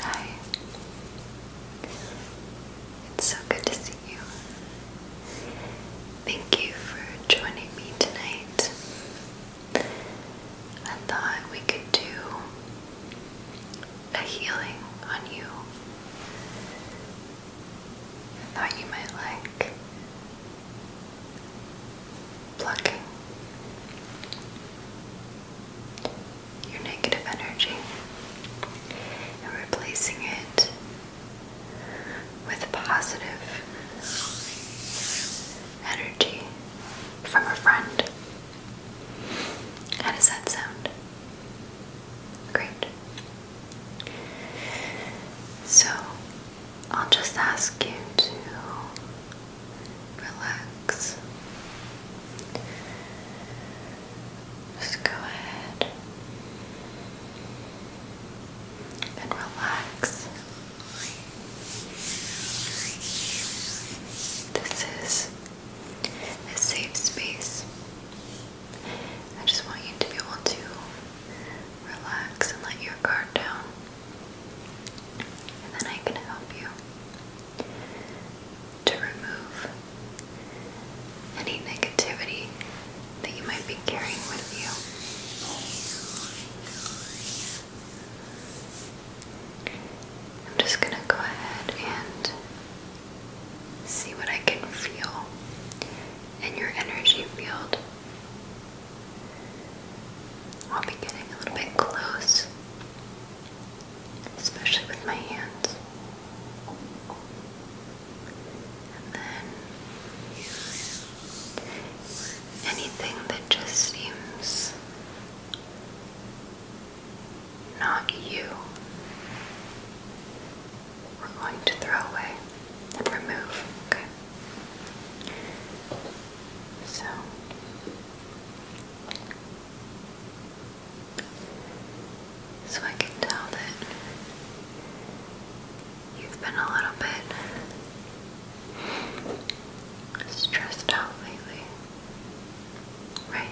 Hi. so good to see you. Thank you for joining me tonight. I thought we could do a healing on you. I thought you might like plucking your negative energy and replacing it with positive energy from a friend. How does that sound? Great. So, I'll just ask you to relax. Just go ahead and relax. This is a safe space. I just want you to be able to relax and let your guard down and then I can help you to remove any negativity that you might be carrying with you. I'm just going to go ahead and see what I can feel in your energy field. I'll be getting a little bit close, especially with my hands. And then anything that just seems not you, we're going to throw away remove, okay? So so I can tell that you've been a little bit stressed out lately, right?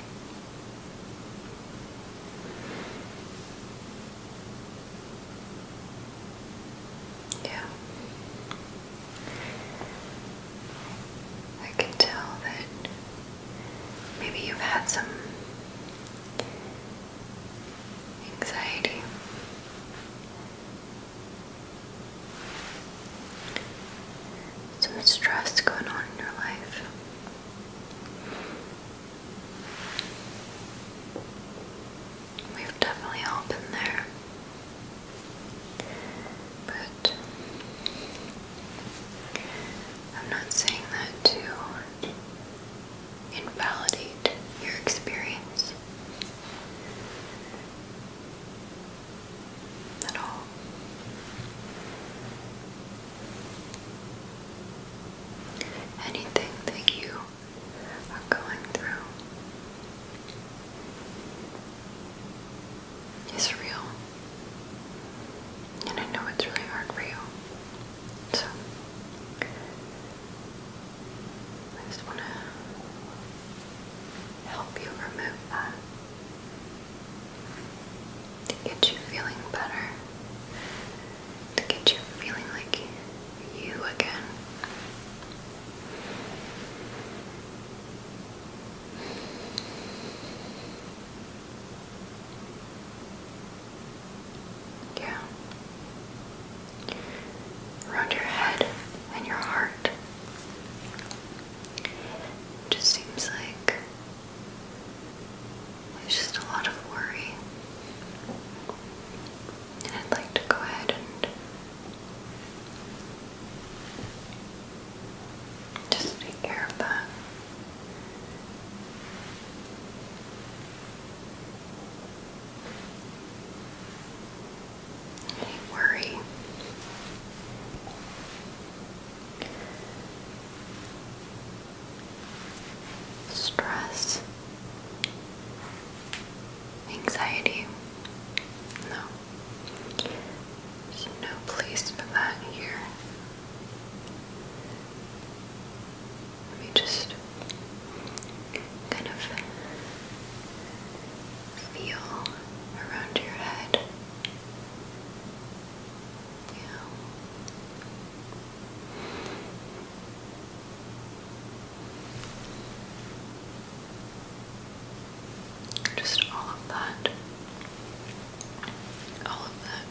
Yeah. I can tell that maybe you've had some anxiety. Some stress going on in your life. We've definitely all been there. But I'm not saying that to invalidate your experience at all. Anything that you are going through is real. And I know it's really hard for you. So, I just want to help you remove that to get you feeling better, to get you feeling like you again. Yeah. Around your head and your heart. It just seems like there's just a lot of worry. And I'd like to go ahead and just take care of that. Any worry? Stress anxiety. No. There's no place for that here. Let me just kind of feel around your head. Yeah. Just all of that. All of that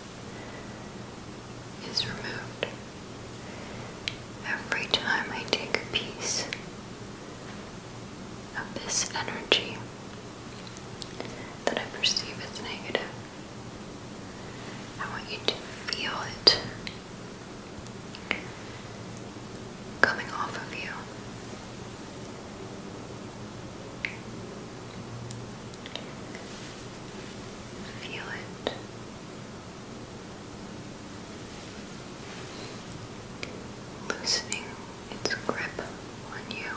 is removed. Every time I take a piece of this energy that I perceive as negative, I want you to feel it coming off of you. Feel it. Loosening its grip on you.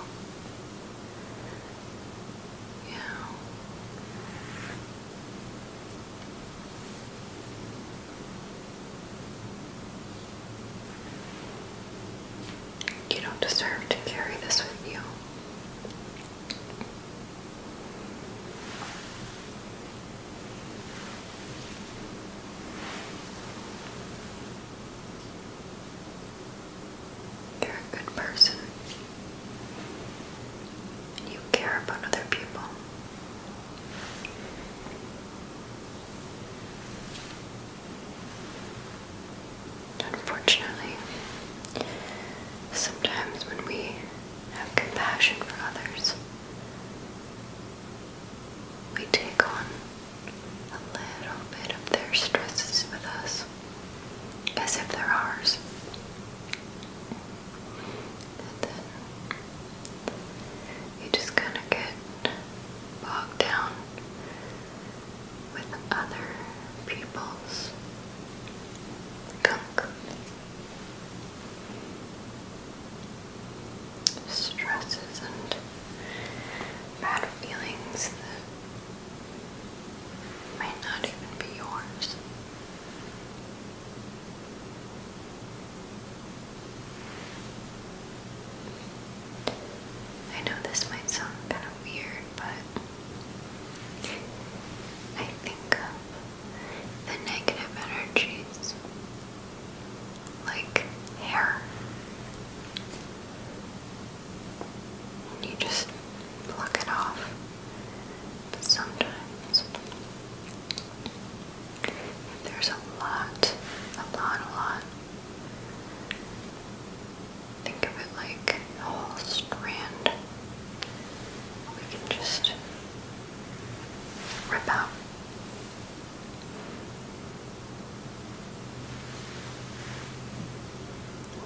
Yeah. You don't deserve to carry this with you. You're a good person. You care about other people. Unfortunately, sometimes when we have compassion for others, we take on a little bit of their stresses with us as if they're ours. You are just gonna get bogged down with other people's gunk. Stresses and bad feelings that may not even be yours. I know this might sound kind of weird, but I think of the negative energies like hair. And you just pluck it off. But sometimes there's a lot, a lot, a lot. Think of it like a whole strand. We can just rip out.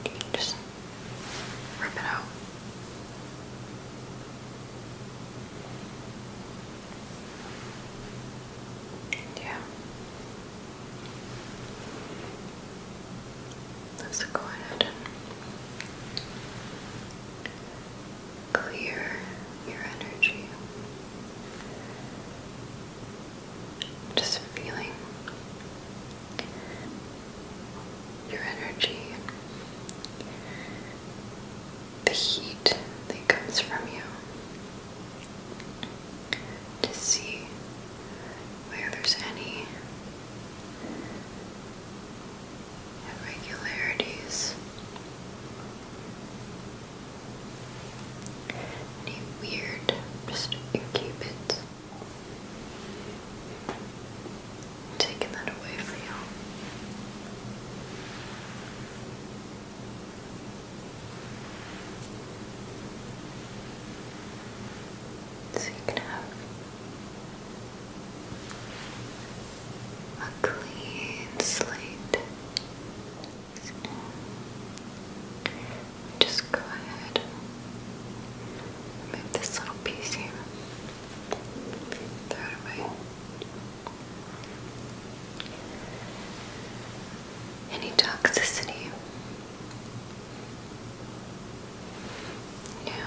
You can just rip it out. Yeah. Let's go ahead clear your energy. Just feeling your energy the heat that comes from you to see where there's any irregularities, any weird, just keep Taking that away from you. So you can have a clean slate. just go ahead move this little piece here. Throw it away any toxicity. Yeah.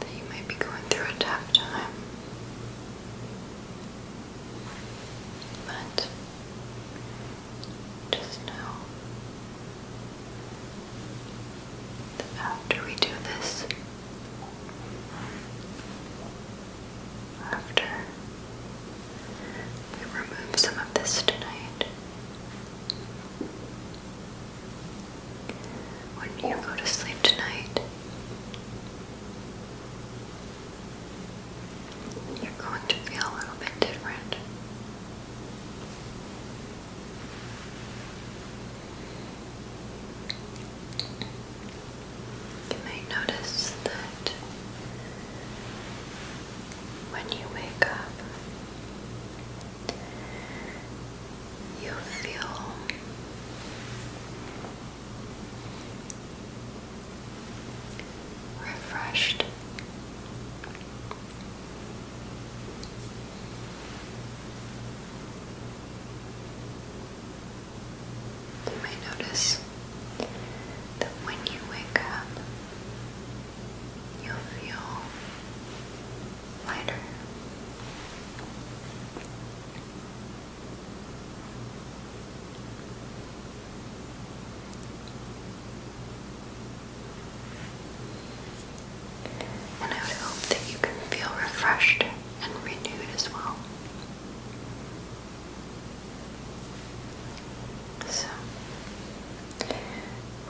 that you might be going through a tough time. But just know that after we do this, after we remove some of this tonight, when you go to sleep tonight, you're going to feel a little bit different. You may notice that when you wake up, you feel refreshed. You may notice that when you wake up, you feel lighter. And I would hope that you can feel refreshed and renewed as well. So,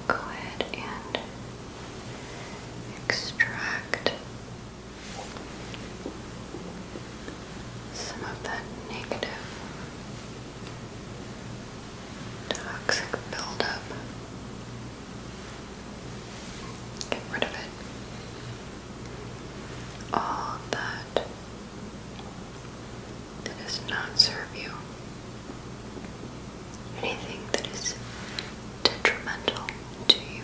go ahead and extract some of that negative toxic buildup. Get rid of it. All that that does not serve you. Anything that is detrimental to you.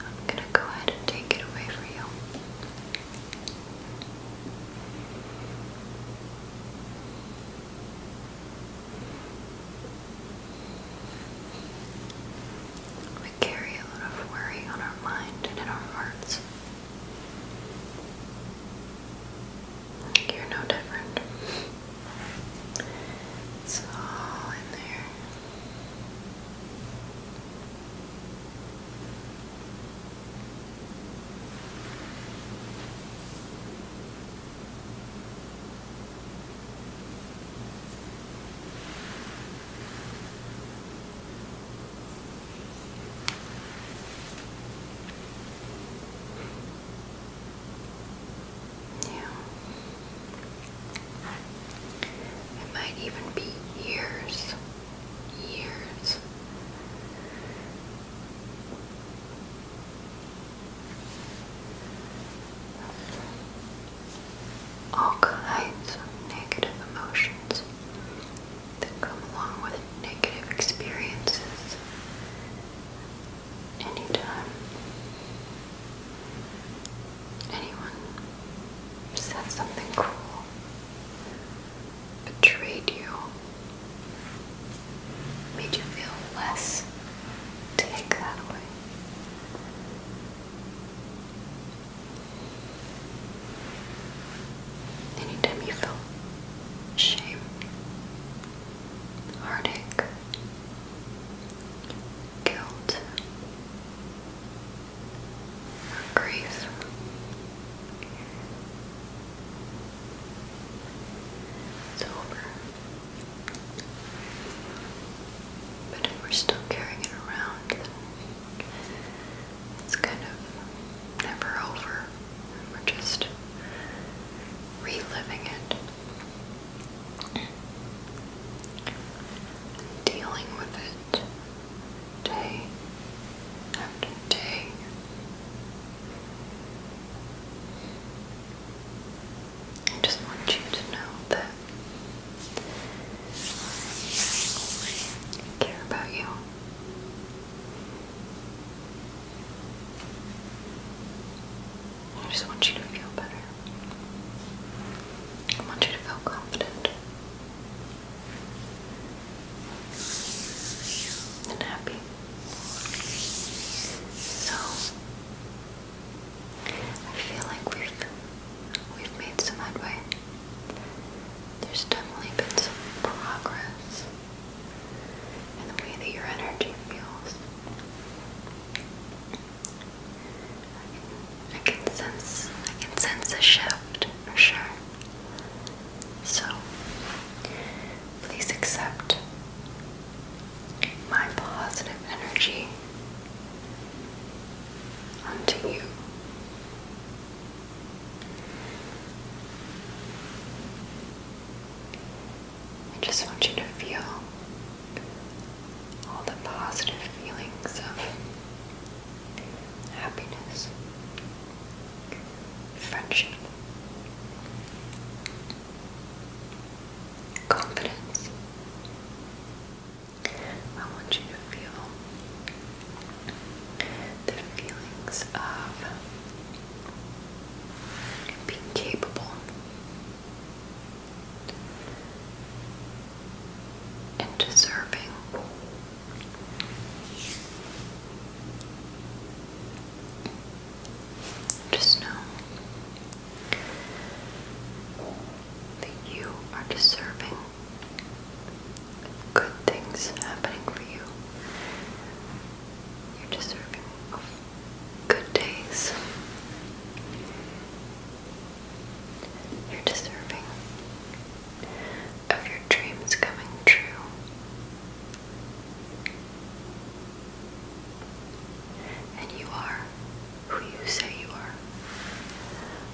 I'm gonna go ahead and take it away for you. We carry a lot of worry on our mind and in our hearts. You're no different. It's all in there. Yeah. It might even be years. Years. All kinds of negative emotions that come along with negative experiences anytime anyone said something cruel, betrayed you, made you feel less, take that away. Anytime you feel shame, heartache, guilt, grief. It's over. But if we're still carrying it around, it's kind of never over. We're just reliving it dealing with it day after day. I just want you to know that I care about you. I just want you to feel better. I want you to feel confident and happy. So I feel like we've we've made some headway. There's definitely been some progress in the way that your energy feels. I can sense I can sense a shift for sure. So please accept my positive energy onto you. I just want you to feel all the positive feelings of happiness, friendship, confidence. I want you to feel the feelings of being capable and deserving. Just know that you are deserving good things happening for you. You're deserving of good days. You're deserving of your dreams coming true. And you are who you say you are,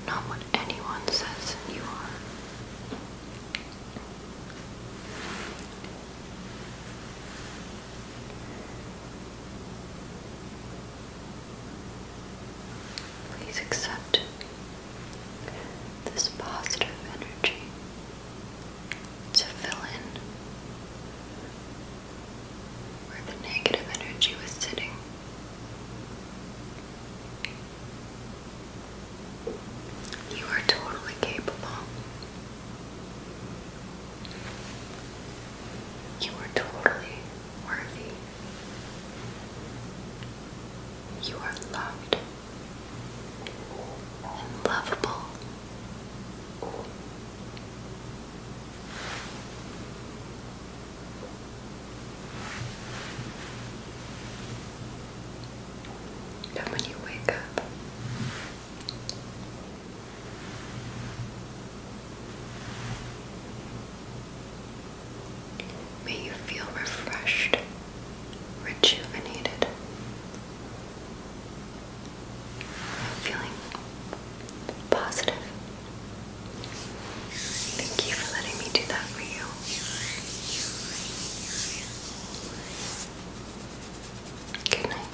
not what anyone says you are. Please accept this positive energy to fill in where the negative energy was sitting. You are totally capable you are totally worthy. You are loved and lovable. And when you wake up, May you feel refreshed, rejuvenated. I'm feeling positive. Thank you for letting me do that for you. Good night.